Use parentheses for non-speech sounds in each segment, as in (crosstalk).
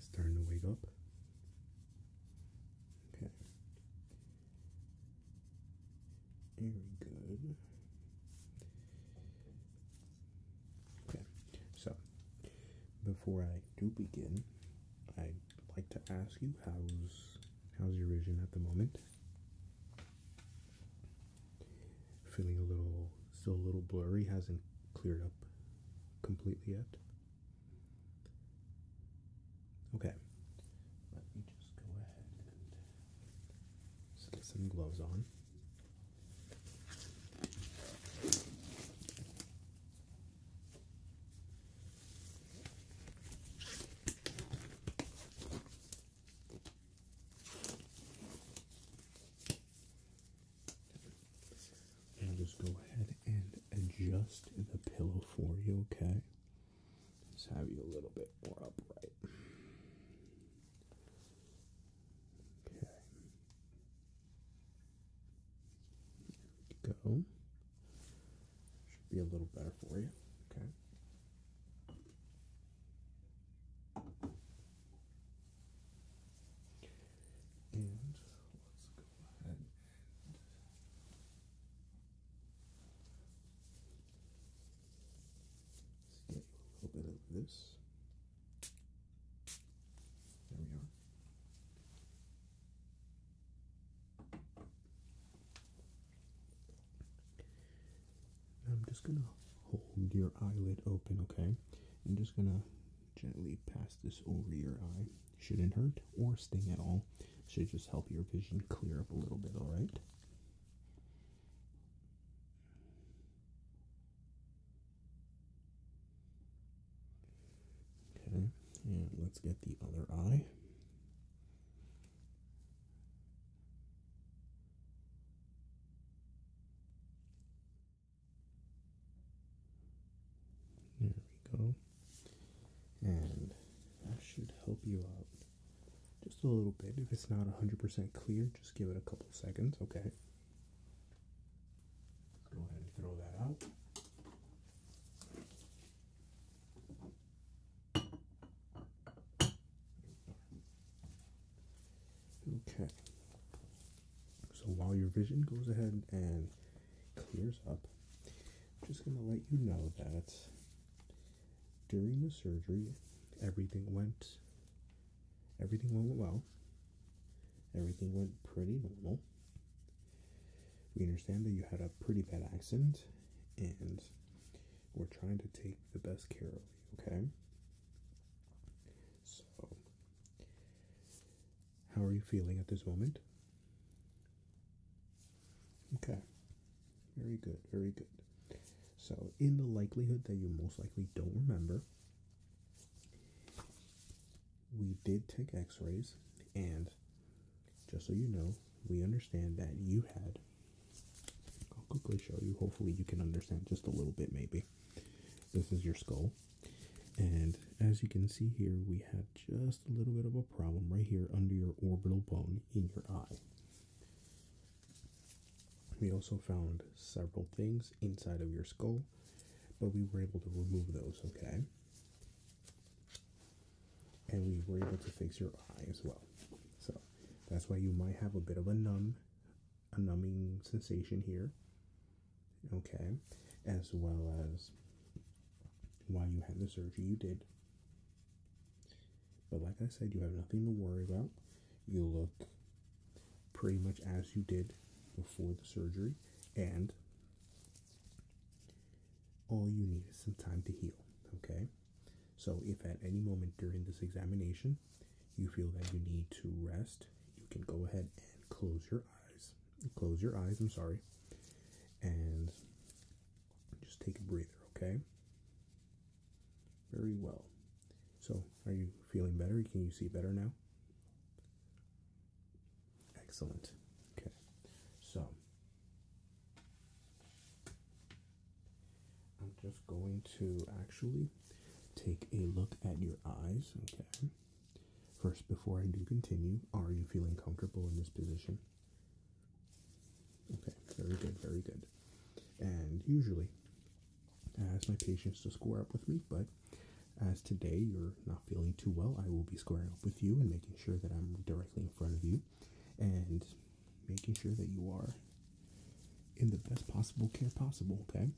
starting to wake up. Okay. Very good. Okay, so before I do begin, I'd like to ask you how's how's your vision at the moment? Feeling a little still a little blurry, hasn't cleared up completely yet. Okay, let me just go ahead and slip some gloves on. And just go ahead and adjust the pillow for you, okay? Just have you a little bit more upright. Okay. go. Should be a little better for you, okay? And let's go ahead get a little bit of this. There we are. I'm just gonna hold your eyelid open, okay? I'm just gonna gently pass this over your eye. Shouldn't hurt or sting at all. Should just help your vision clear up a little bit, alright? Okay, and let's get the other eye. There we go. And that should help you out just a little bit. If it's not 100% clear, just give it a couple seconds, okay? Go ahead and throw that out. Okay. So while your vision goes ahead and clears up. I'm just going to let you know that during the surgery, everything went everything went well. Everything went pretty normal. We understand that you had a pretty bad accident and we're trying to take the best care of you, okay? So how are you feeling at this moment? Okay. Very good, very good. So, in the likelihood that you most likely don't remember, we did take x rays, and just so you know, we understand that you had. I'll quickly show you. Hopefully, you can understand just a little bit, maybe. This is your skull. And as you can see here, we have just a little bit of a problem right here under your orbital bone in your eye. We also found several things inside of your skull, but we were able to remove those, okay? And we were able to fix your eye as well. So that's why you might have a bit of a numb, a numbing sensation here okay, as well as why you had the surgery you did. But like I said, you have nothing to worry about. You look pretty much as you did before the surgery, and all you need is some time to heal, okay? So, if at any moment during this examination you feel that you need to rest, you can go ahead and close your eyes. Close your eyes, I'm sorry. And just take a breather, okay? Very well. So, are you feeling better? Can you see better now? Excellent. Okay. So, I'm just going to actually take a look at your eyes, okay? First, before I do continue, are you feeling comfortable in this position? Okay, very good, very good. And usually, I ask my patients to square up with me, but as today you're not feeling too well, I will be squaring up with you and making sure that I'm directly in front of you and making sure that you are in the best possible care possible, okay?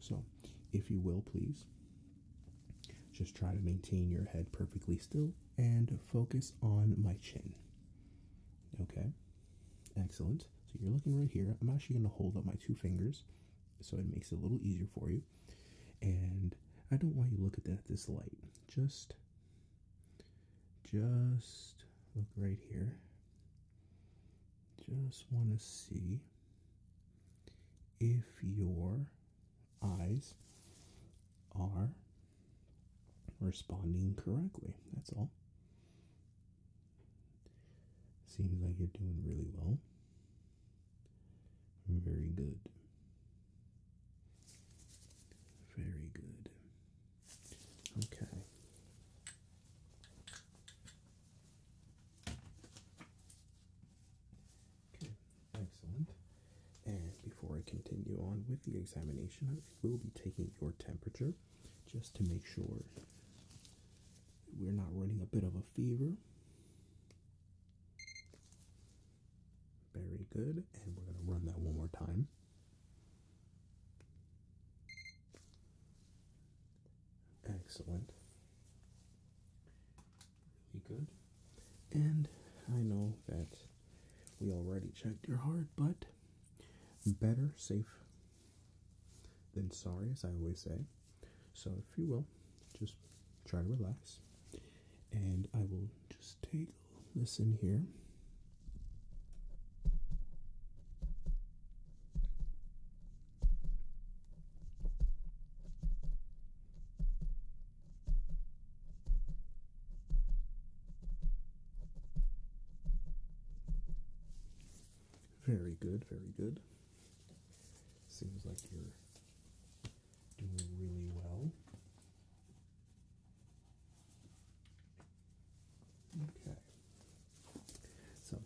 So, if you will, please just try to maintain your head perfectly still and focus on my chin. Okay, excellent. So, you're looking right here. I'm actually going to hold up my two fingers so it makes it a little easier for you. And I don't want you to look at that this light. Just just look right here. Just want to see if your eyes are responding correctly. That's all. Seems like you're doing really well. Very good. Very good. Okay. Okay, excellent. And before I continue on with the examination, I will be taking your temperature just to make sure we're not running a bit of a fever. Very good. And we're going to run that one more time. Excellent really good. And I know that we already checked your heart, but better safe than sorry, as I always say. So, if you will, just try to relax. And I will just take this in here. Very good, very good. Seems like you're doing really well. Okay. So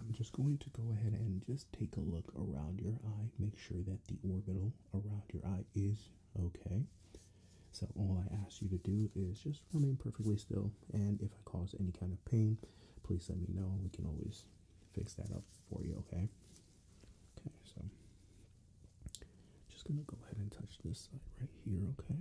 I'm just going to go ahead and just take a look around your eye, make sure that the orbital around your eye is okay. So all I ask you to do is just remain perfectly still, and if I cause any kind of pain, please let me know. We can always fix that up for you, okay? Okay, so just gonna go ahead and touch this side right here, okay?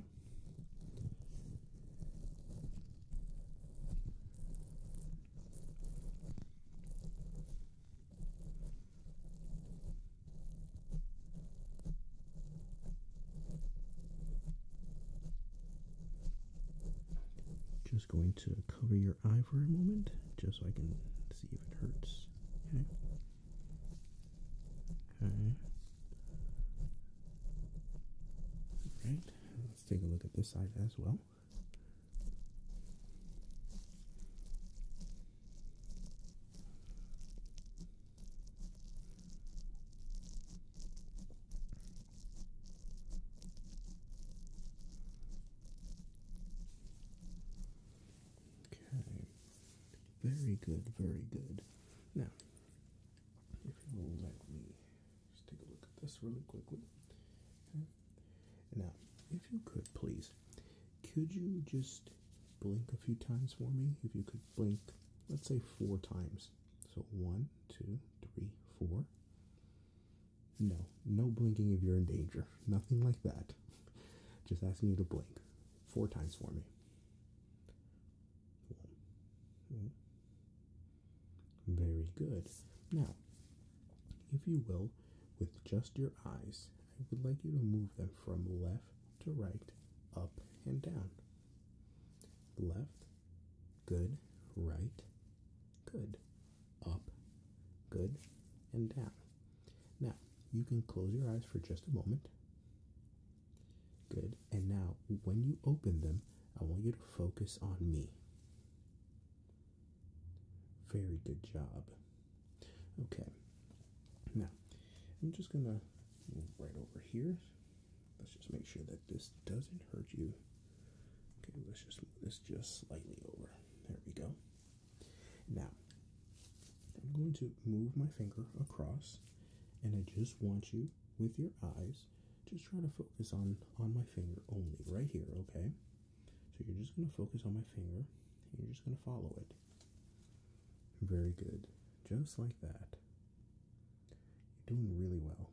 Just going to cover your eye for a moment just so I can see if it hurts. Okay. Alright, let's take a look at this side as well. Okay. Very good, very good. Now, if you'll let me just take a look at this really quickly. Now, if you could please, could you just blink a few times for me? If you could blink, let's say four times. So one, two, three, four. No, no blinking if you're in danger. Nothing like that. (laughs) Just asking you to blink four times for me. Very good. Now, if you will, with just your eyes, I would like you to move them from left to right, up and down. Left, good, right, good, up, good, and down. Now, you can close your eyes for just a moment. Good. And now, when you open them, I want you to focus on me. Very good job. Okay. Now, I'm just going to move right over here. Let's just make sure that this doesn't hurt you. Okay, let's just move this just slightly over. There we go. Now, I'm going to move my finger across, and I just want you with your eyes. Just try to focus on on my finger only right here, okay? So you're just going to focus on my finger you're just going to follow it. Very good. Just like that. You're doing really well.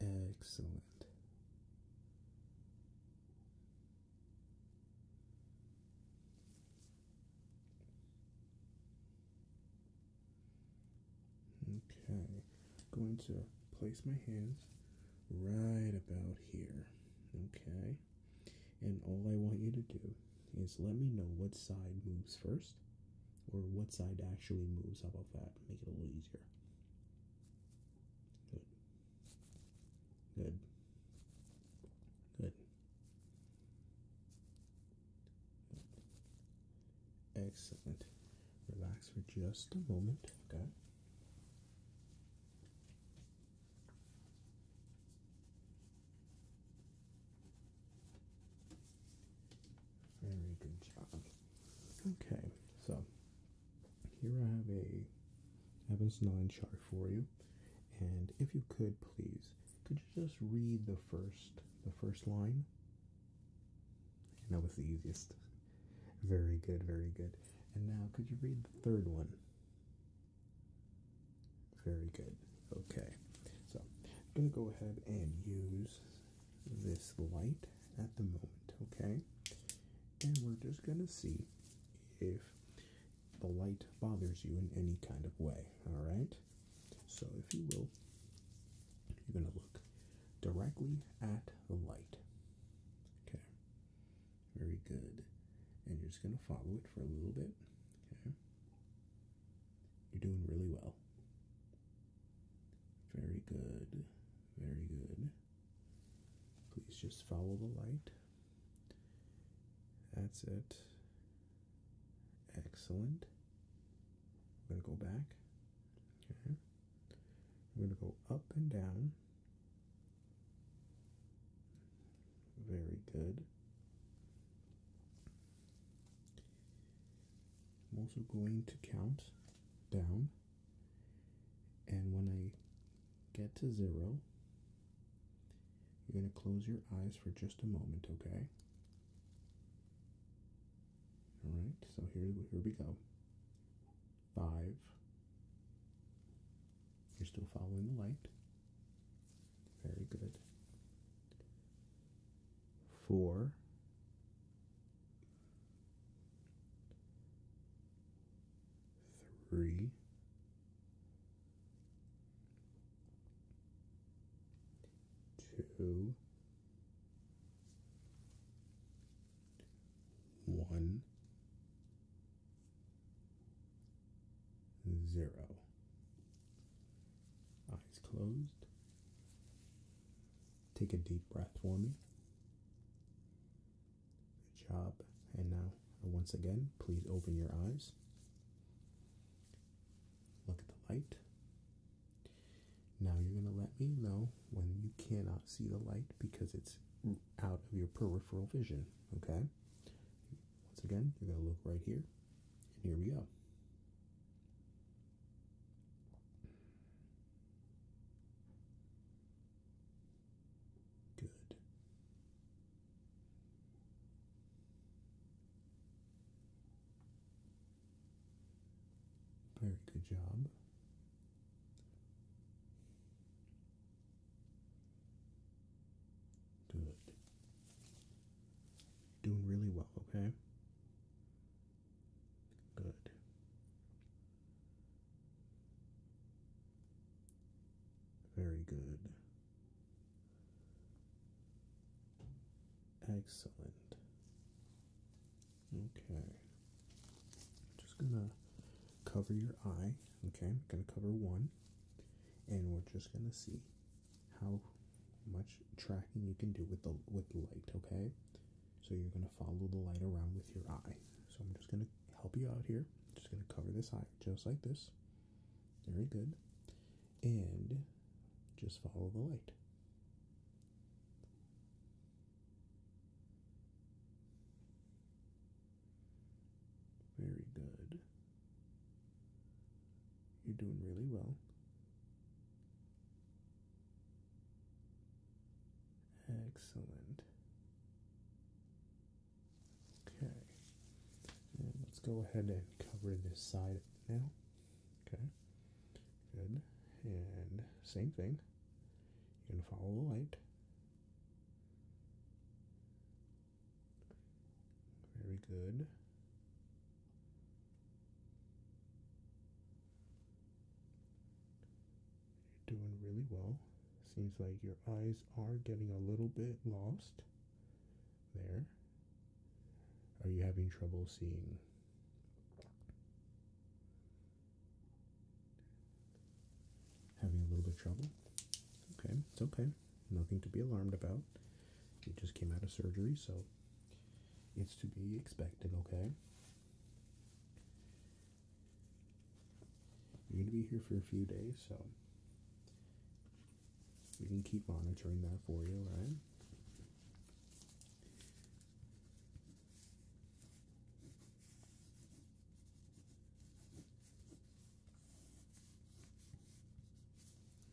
Excellent. Okay, going to place my hands right about here. Okay, and all I want you to do is let me know what side moves first or what side actually moves. How about that? Make it a little easier. Good. Good. Good. Excellent. Relax for just a moment, okay? Very good job. Okay, so here I have a Evans 9 chart for you. And if you could please, could you just read the first the first line and that was the easiest. Very good, very good. And now, could you read the third one? Very good. Okay. So, I'm going to go ahead and use this light at the moment, okay? And we're just going to see if the light bothers you in any kind of way, alright? So, if you will, you're going to look directly at the light. Okay. Very good. And you're just going to follow it for a little bit. Okay. You're doing really well. Very good. Very good. Please just follow the light. That's it. Excellent. I'm going to go back. Okay. We're going to go up and down. Very good. I'm also going to count down. And when I get to zero, you're going to close your eyes for just a moment, okay? All right, so here, here we go. Five. You're still following the light. Very good. Four. Three two, one, zero. Eyes closed. Take a deep breath for me. Good job. And now, once again, please open your eyes. Look at the light. Now you're going to let me know when you cannot see the light because it's out of your peripheral vision, okay? Once again, you're going to look right here, and here we go. Good. Very good job. Good. Doing really well, okay? Good. Very good. Excellent. Okay. I'm Just gonna cover your eye. Okay, I'm gonna cover one, and we're just gonna see how much tracking you can do with the with light. Okay. So you're gonna follow the light around with your eye. So I'm just gonna help you out here. just gonna cover this eye just like this. Very good and just follow the light. Very good. You're doing really well. Excellent. Okay. let's go ahead and cover this side now. Okay, good. And same thing. You're going to follow the light. Very good. You're doing really well. Seems like your eyes are getting a little bit lost there. Are you having trouble seeing? Having a little bit of trouble? Okay, it's okay. Nothing to be alarmed about. You just came out of surgery, so it's to be expected, okay? You're going to be here for a few days, so we can keep monitoring that for you, right?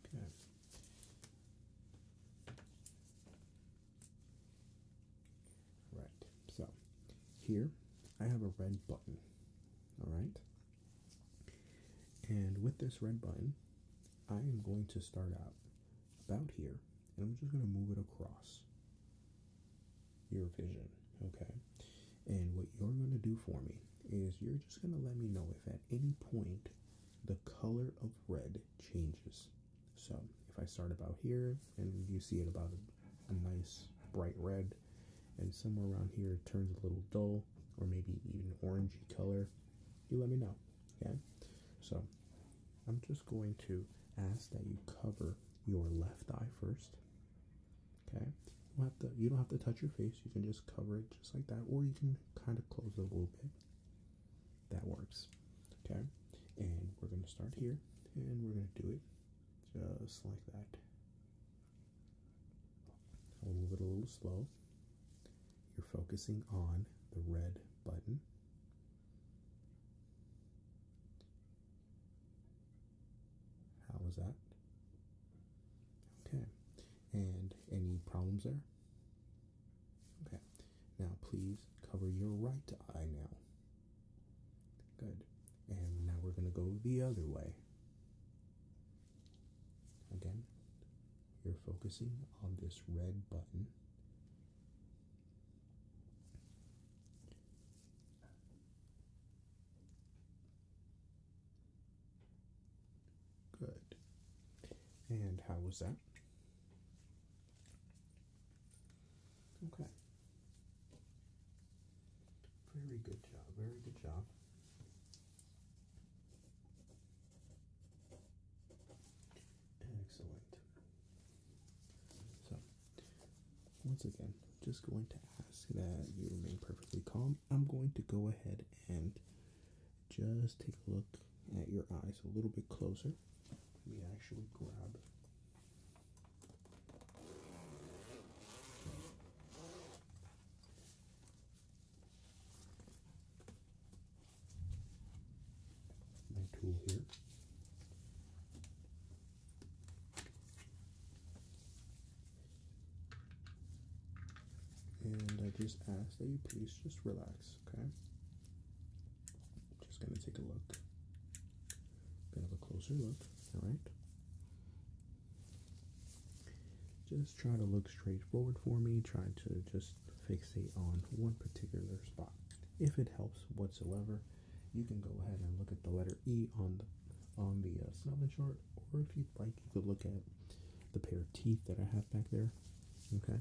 Okay. Right. So here I have a red button. All right. And with this red button, I am going to start out about here, and I'm just going to move it across your vision, okay? And what you're going to do for me is you're just going to let me know if at any point the color of red changes. So if I start about here and you see it about a, nice bright red, and somewhere around here it turns a little dull or maybe even orangey color, you let me know. Okay, so I'm just going to ask that you cover your left eye first. Okay, you don't have to, touch your face, you can just cover it just like that, or you can kind of close it a little bit. That works. Okay, and we're going to start here and we're going to do it just like that. I'll move it a little slow. You're focusing on the red button. How was that? Okay. And any problems there? Okay. Now please cover your right eye now. Good. And now we're going to go the other way. Again. You're focusing on this red button. Good. And how was that? Okay. Very good job. Very good job. Excellent. So, once again, just going to ask that you remain perfectly calm. I'm going to go ahead and just take a look at your eyes a little bit closer. Let me actually grab my tool here. And I just ask that you please just relax, okay? Just gonna take a look. Bit of a closer look, alright? Just try to look straightforward for me. Try to just fixate on one particular spot. If it helps whatsoever, you can go ahead and look at the letter E on the on the uh, chart, or if you'd like, you could look at the pair of teeth that I have back there. Okay.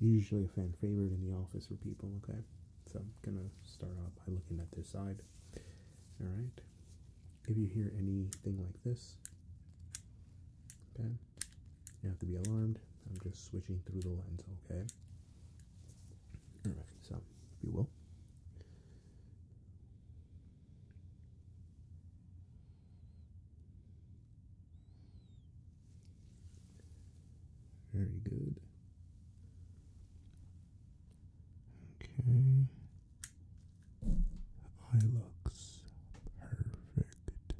Usually a fan favorite in the office for people. Okay. So I'm gonna start off by looking at this side. All right. If you hear anything like this, okay, you have to be alarmed. I'm just switching through the lens, okay? Alright, so if you will. Very good. Okay. Eye looks perfect.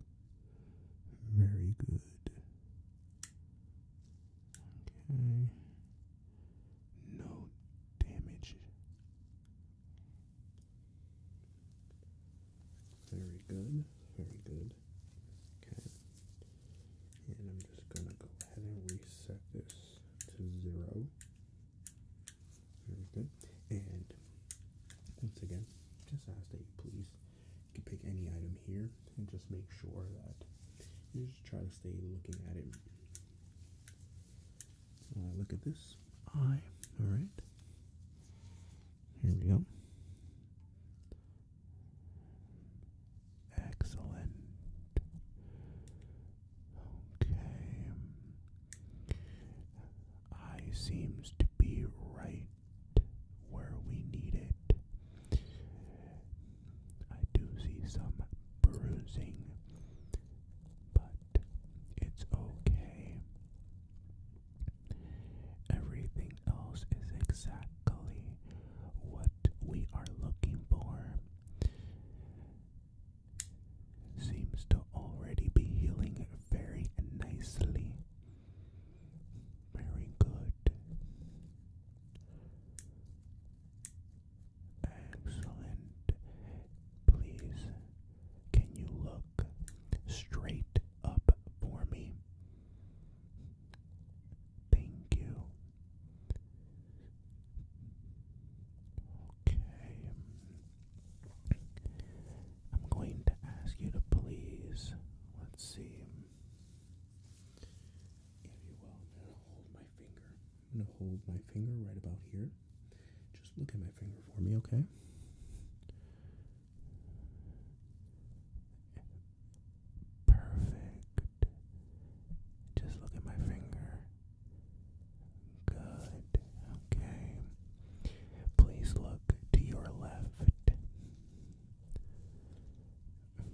Very good. Okay. No damage. Very good. Very good. Okay. And I'm just going to go ahead and reset this to zero. Very good. And once again, just ask that please you can pick any item here and just make sure that you just try to stay looking at it. Uh, look at this eye. All right. Here we go. Excellent. Okay. I seems to be right where we need it. I do see some bruising, but it's okay. Everything else is exactly what we are looking for. Seems to already be healing very nicely. Very good. Excellent. Please, can you look straight up for me? Thank you. Okay. I'm going to ask you to please, let's see, if you will, I'm going to hold my finger. I'm going to hold my finger right about here. Just look at my finger for me, okay? Perfect. Just look at my finger. Good. Okay. Please look to your left.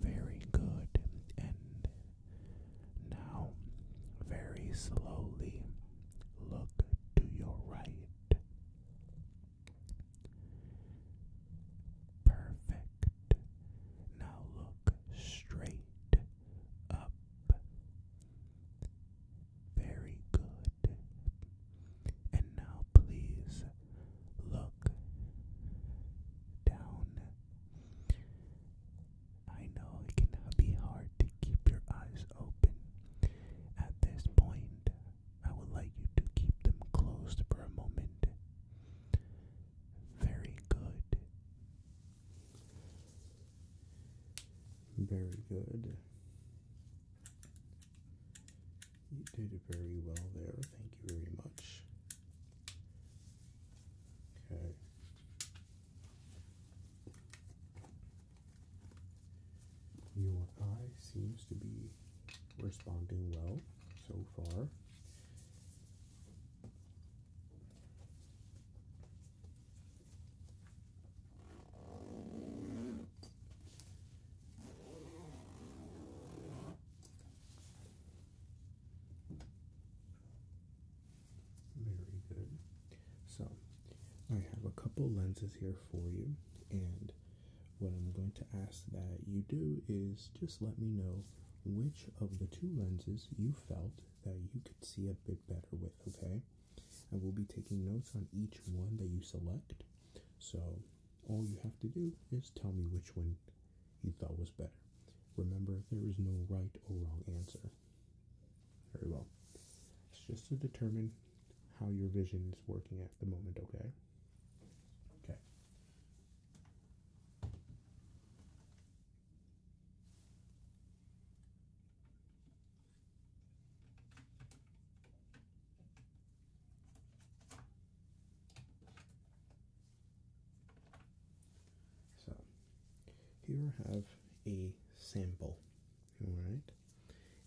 Very good. And now, very slowly, look to your right. Perfect. Now look straight up. Very good. And now please look down. I know it can be hard to keep your eyes open. At this point, I would like you to keep them closed for a moment. Very good. Very good. You did very well there. Thank you very much. Okay. Your eye seems to be responding well so far. Very good. So, I have a couple lenses here for you, and what I'm going to ask that you do is just let me know which of the two lenses you felt that you could see a bit better with, okay? I will be taking notes on each one that you select. So all you have to do is tell me which one you thought was better. Remember, there is no right or wrong answer. Very well. It's just to determine how your vision is working at the moment, okay? Okay. So here I have a sample, all right?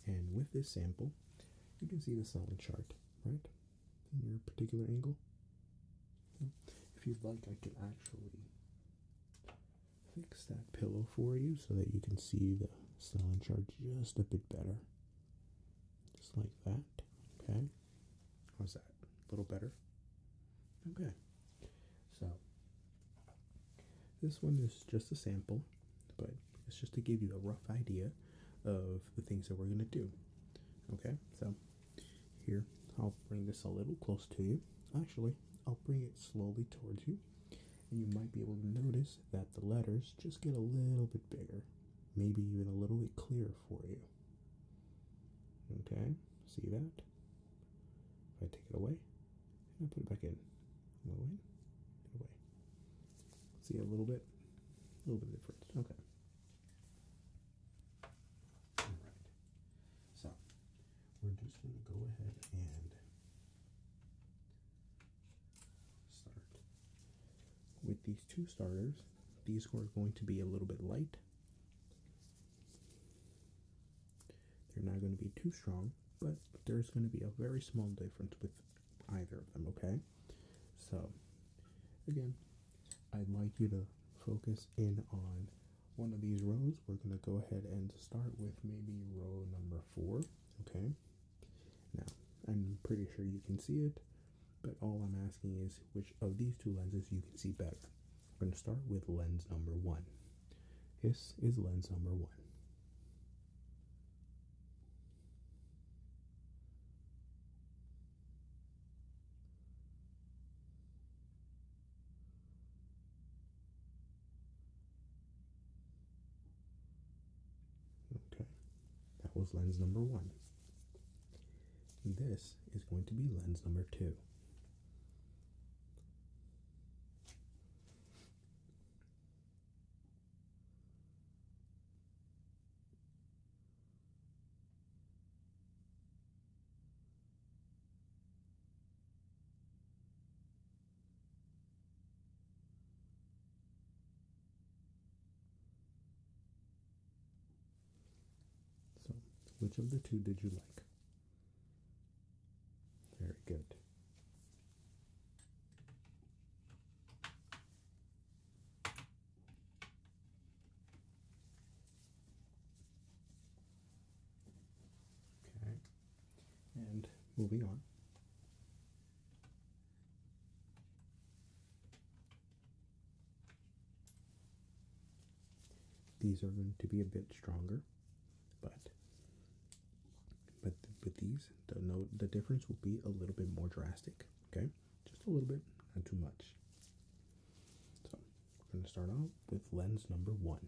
And with this sample, you can see the sound chart, right? In your particular angle. If you'd like, I can actually fix that pillow for you so that you can see the styling chart just a bit better. Just like that. Okay. How's that? A little better? Okay. So, this one is just a sample, but it's just to give you a rough idea of the things that we're going to do. Okay, so here, I'll bring this a little close to you. Actually, I'll bring it slowly towards you and you might be able to notice that the letters just get a little bit bigger, maybe even a little bit clearer for you. Okay, see that? If I take it away and I put it back in, away, away. See a little bit, a little bit different. Okay. All right. So we're just going to go ahead and start. With these two starters, these are going to be a little bit light. They're not going to be too strong, but there's going to be a very small difference with either of them, okay? So, again, I'd like you to focus in on one of these rows. We're going to go ahead and start with maybe row number four, okay? Now, I'm pretty sure you can see it, but all I'm asking is which of these two lenses you can see better. We're going to start with lens number one. This is lens number one. Okay, that was lens number one. This is going to be lens number two. So, which of the two did you like? Very good. Okay. And moving on. These are going to be a bit stronger, but but with these, the no the difference will be a little bit more drastic. Okay, just a little bit, not too much. So we're going to start out with lens number one.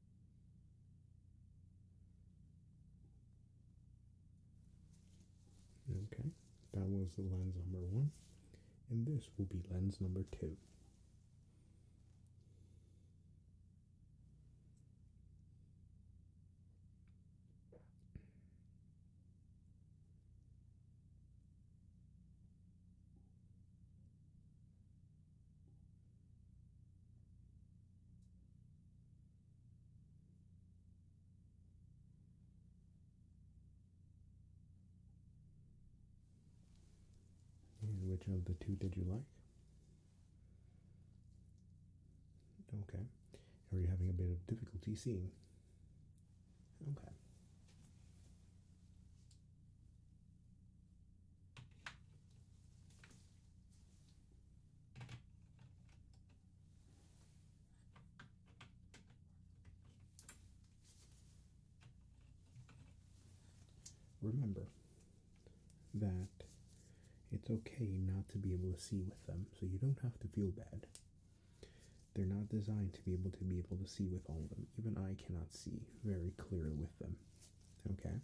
Okay, that was the lens number one, and this will be lens number two which of the two did you like? Okay. Are you having a bit of difficulty seeing? Okay. Remember that it's okay not to be able to see with them, so you don't have to feel bad. They're not designed to be able to be able to see with all of them. Even I cannot see very clearly with them. Okay?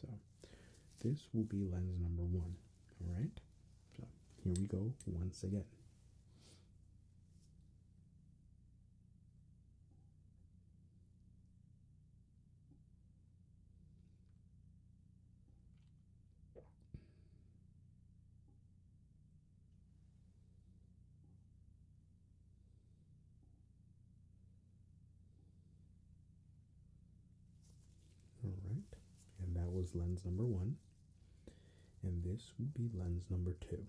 So this will be lens number one. All right. So here we go once again. All right, and that was lens number one, and this will be lens number two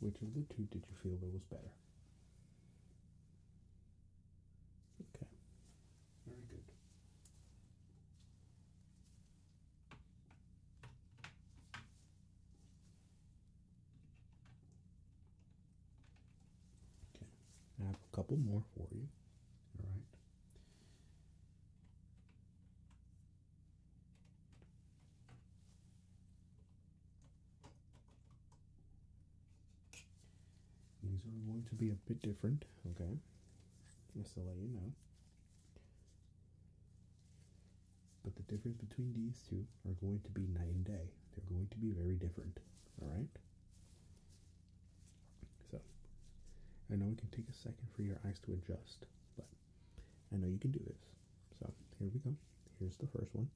which of the two did you feel was better? Okay, very good. Okay, I have a couple more for you. All right. These are going to be a bit different, okay? Just to let you know. But the difference between these two are going to be night and day. They're going to be very different, alright? So, I know it can take a second for your eyes to adjust, but I know you can do this. So, here we go. Here's the first one.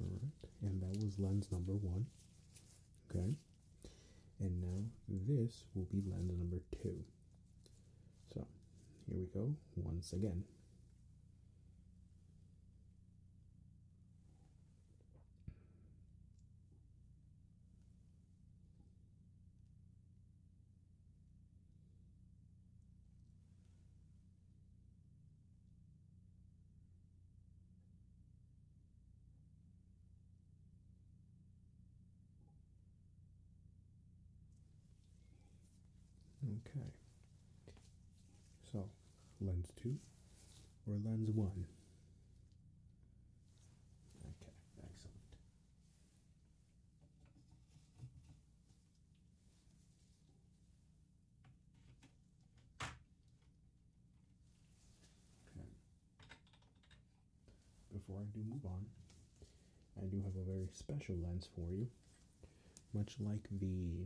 All right, and that was lens number one. Okay, and now this will be lens number two. So here we go once again. Okay. So, lens two or lens one? Okay, excellent. Okay. Before I do move on, I do have a very special lens for you. Much like the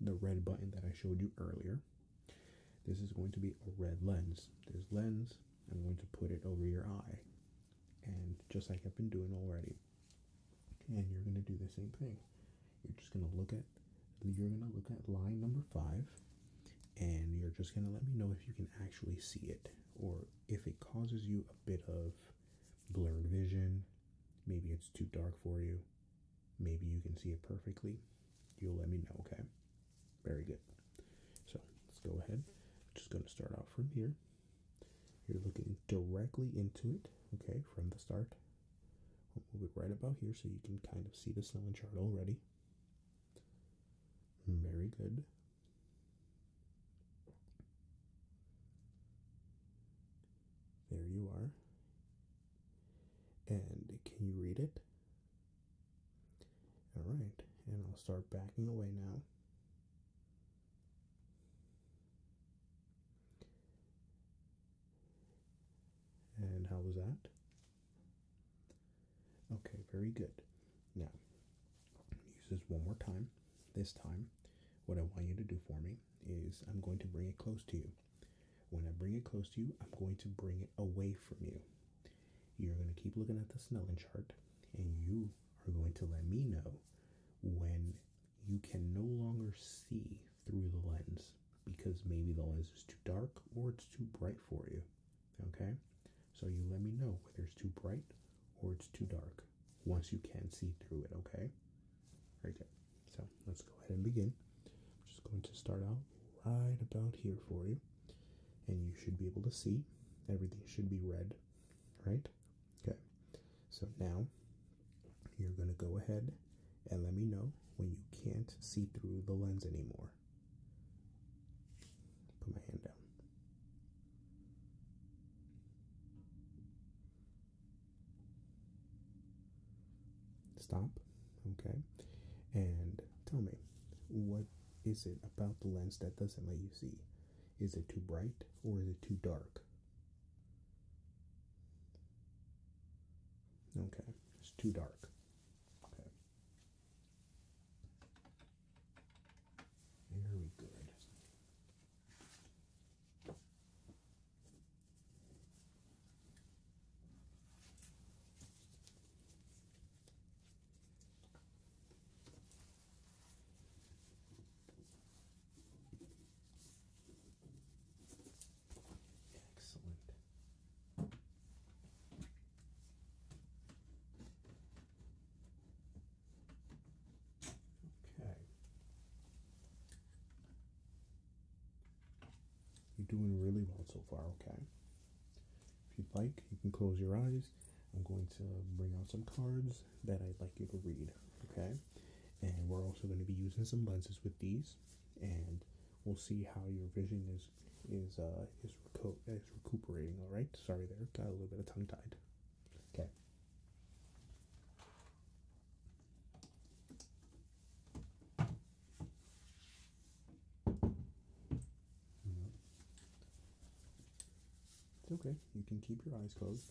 the red button that I showed you earlier. This is going to be a red lens. This lens, I'm going to put it over your eye. And just like I've been doing already, and you're going to do the same thing. You're just going to look at you're going to look at line number 5 and you're just going to let me know if you can actually see it or if it causes you a bit of blurred vision. Maybe it's too dark for you. Maybe you can see it perfectly. You'll let me know, okay? Very good. So, let's go ahead. just going to start out from here. You're looking directly into it, okay, from the start. We'll move it right about here so you can kind of see the snowing chart already. Very good. There you are. And can you read it? All right, and I'll start backing away now. And how was that? Okay, very good. Now, use this one more time. This time, what I want you to do for me is I'm going to bring it close to you. When I bring it close to you, I'm going to bring it away from you. You're going to keep looking at the Snellen chart, and you are going to let me know when you can no longer see through the lens because maybe the lens is too dark or it's too bright for you. Okay? So you let me know whether it's too bright or it's too dark once you can see through it, okay? Right there. So let's go ahead and begin. I'm just going to start out right about here for you. And you should be able to see. Everything should be red, right? Okay. So now you're going to go ahead and let me know when you can't see through the lens anymore. Put my hand down. Stop. Okay. And tell me, what is it about the lens that doesn't let you see? Is it too bright or is it too dark? Okay, it's too dark. Okay. Very good. Excellent. Okay. You're doing really well so far, okay? If you'd like, you can close your eyes. I'm going to bring out some cards that I'd like you to read, okay? and we're also going to be using some lenses with these and we'll see how your vision is is uh, is recuperating all right sorry there got a little bit of tongue tied okay it's okay you can keep your eyes closed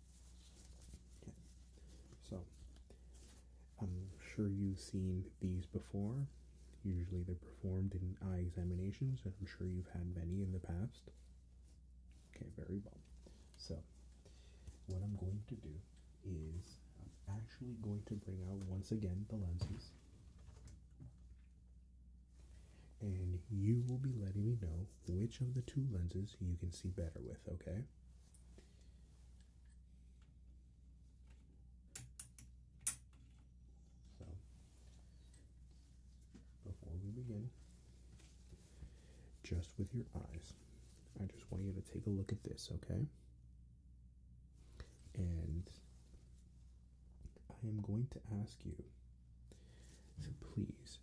So I'm sure you've seen these before. Usually they're performed in eye examinations, and I'm sure you've had many in the past. Okay, very well. So what I'm going to do is I'm actually going to bring out once again the lenses. And you will be letting me know which of the two lenses you can see better with, okay? So, before we begin, just with your eyes, I just want you to take a look at this, okay? And I am going to ask you, so please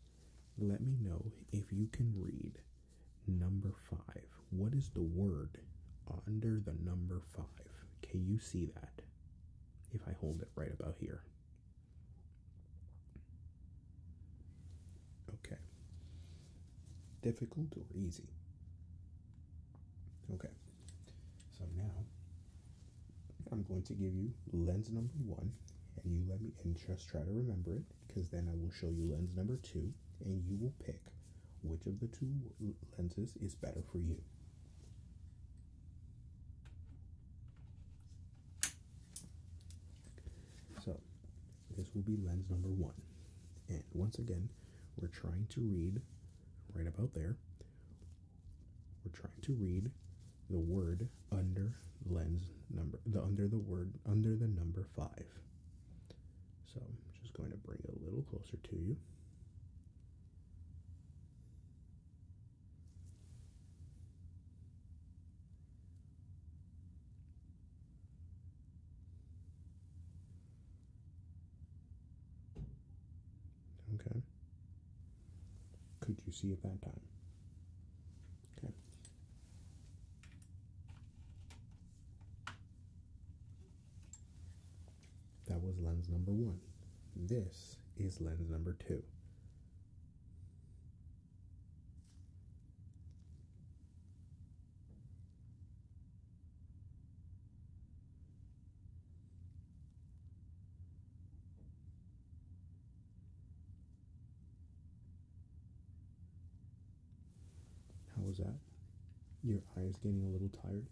let me know if you can read Number five. What is the word under the number five? Can you see that? If I hold it right about here. Okay. Difficult or easy? Okay. So now I'm going to give you lens number one, and you let me and just try to remember it because then I will show you lens number two and you will pick which of the two lenses is better for you. So, this will be lens number one. And once again, we're trying to read right about there. We're trying to read the word under lens number the under the word under the number 5 so I'm just going to bring it a little closer to you. Okay. Could you see at that time? Okay. That was lens number one. This is lens number two. How was that? Your eye is getting a little tired?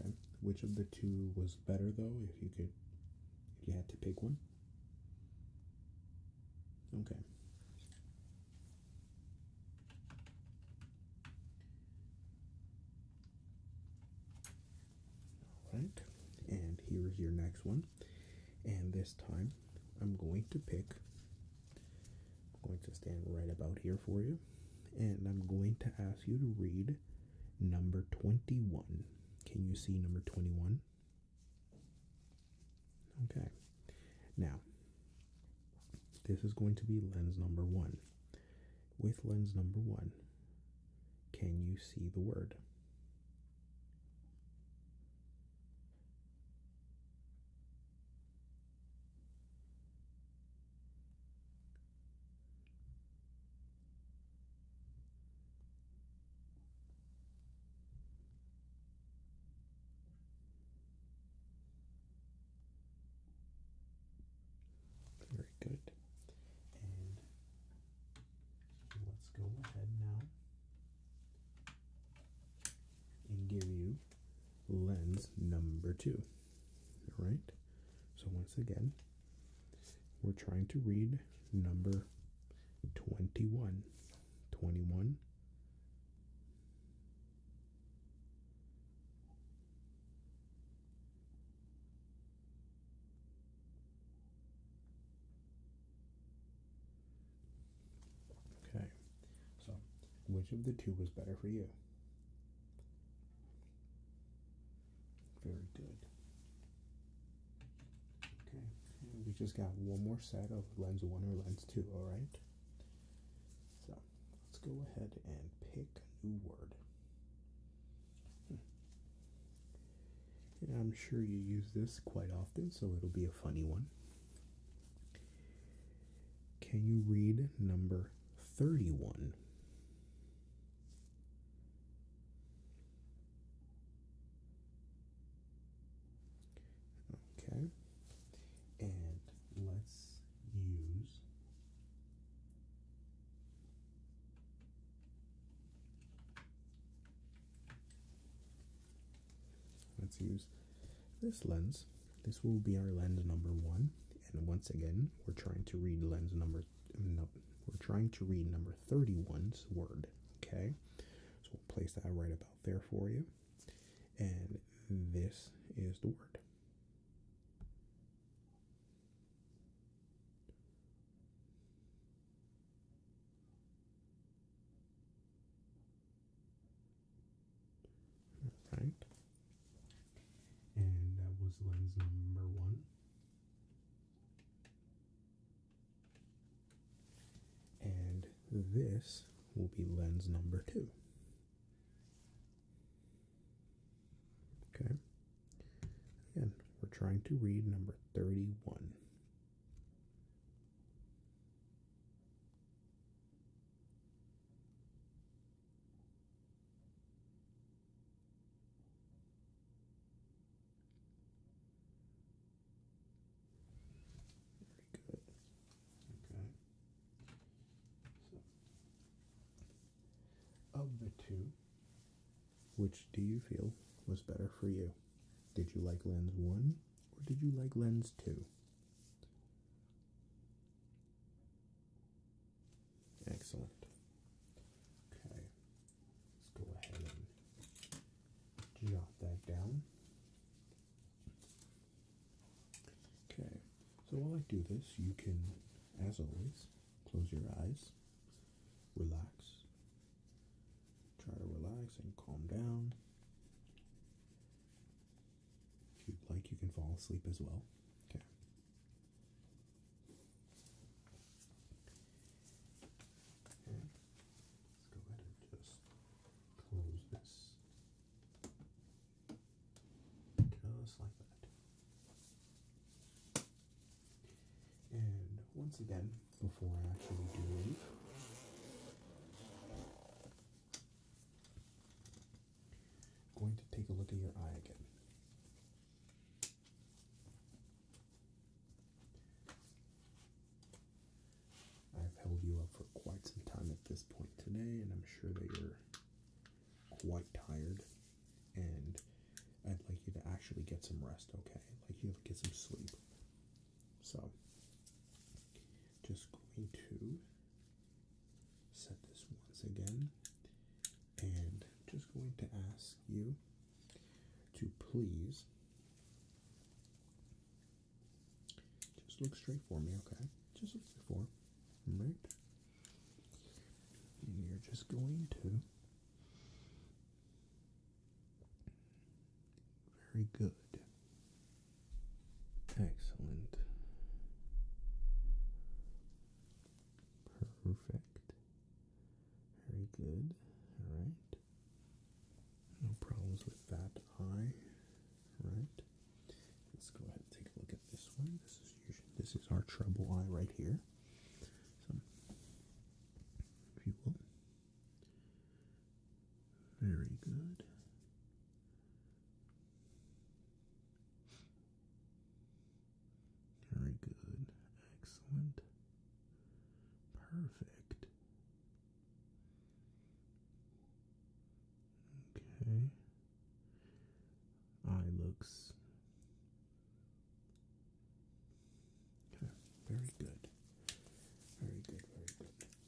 Okay. Which of the two was better though, if you could if you had to pick one? Okay. Alright, and here is your next one. And this time I'm going to pick I'm going to stand right about here for you, and I'm going to ask you to read number 21. Can you see number 21? Okay. Now, this is going to be lens number one. With lens number one, can you see the word? Very good. And let's go ahead now and give you lens number two. All right. So once again, we're trying to read number 21. 21. Okay, so which of the two was better for you? Very good. Okay, we just got one more set of lens one or lens two, alright? So let's go ahead and pick a new word. Hmm. And I'm sure you use this quite often, so it'll be a funny one. Can you read number 31? Okay, and let's use Let's use this lens. This will be our lens number one, and once again, we're trying to read lens number no, we're trying to read number 31's word. Okay, so we'll place that right about there for you, and this is the word. All right. And that was lens number one. And this will be lens number two. Okay. Again, we're trying to read number 31. Very good. Okay. So, of the two, which do you feel was better for you? Did you like lens one or did you like lens two? Excellent. Okay, let's go ahead and jot that down. Okay, so while I do this, you can, as always, close your eyes, relax, Try to relax and calm down. If you'd like, you can fall asleep as well. Okay. Okay. Let's go ahead and just close this. Just like that. And once again, before I actually do leave, going to take a look at your eye again. I've held you up for quite some time at this point today, and I'm sure that you're quite tired. And I'd like you to actually get some rest, okay? like you to get some sleep. So, just going to set this once again and just going to ask you to please just look straight for me, okay? Just look straight for, right? And you're just going to very good. Excellent. Perfect. Very good. All right. No problems with that eye. All right. Let's go ahead and take a look at this one. This is usually, this is our trouble eye right here. So, if you will, very good. Very good. Excellent. Perfect. Okay. Eye looks. Very good. Very good. Very good.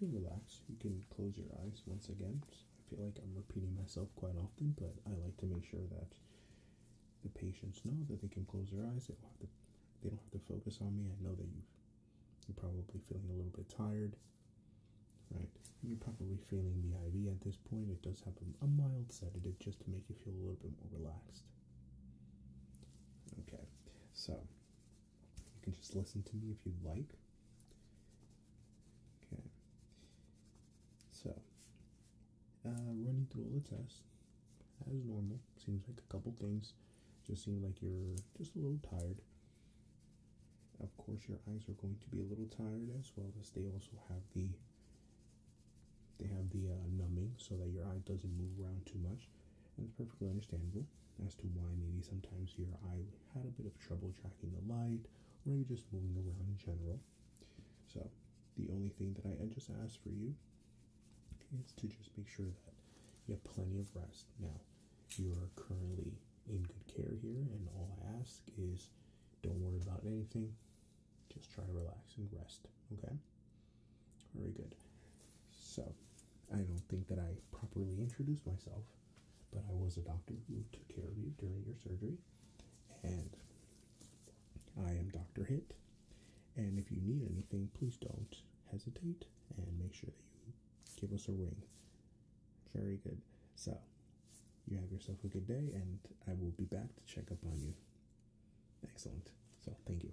relax. You can close your eyes once again. I feel like I'm repeating myself quite often, but I like to make sure that the patients know that they can close their eyes. They don't have to, they don't have to focus on me. I know that you are probably feeling a little bit tired, right? You're probably feeling the IV at this point. It does have a, a mild sedative just to make you feel a little bit more relaxed. Okay, so you can just listen to me if you would like. Okay. So, uh, running through all the tests as normal. Seems like a couple things. Just seem like you're just a little tired. Of course, your eyes are going to be a little tired as well as they also have the they have the uh, numbing so that your eye doesn't move around too much. And it's perfectly understandable as to why maybe sometimes your eye had a bit of trouble tracking the light or maybe just moving around in general. So, the only thing that I just ask for you is to just make sure that you have plenty of rest. Now, you are currently in good care here, and all I ask is don't worry about anything. Just try to relax and rest, okay? Very good. So, I don't think that I properly introduced myself, but I was a doctor who took care of you during your surgery, and I am Dr. Hit. And if you need anything, please don't hesitate and make sure that you give us a ring. Very good. So, you have yourself a good day, and I will be back to check up on you. Excellent. So, thank you.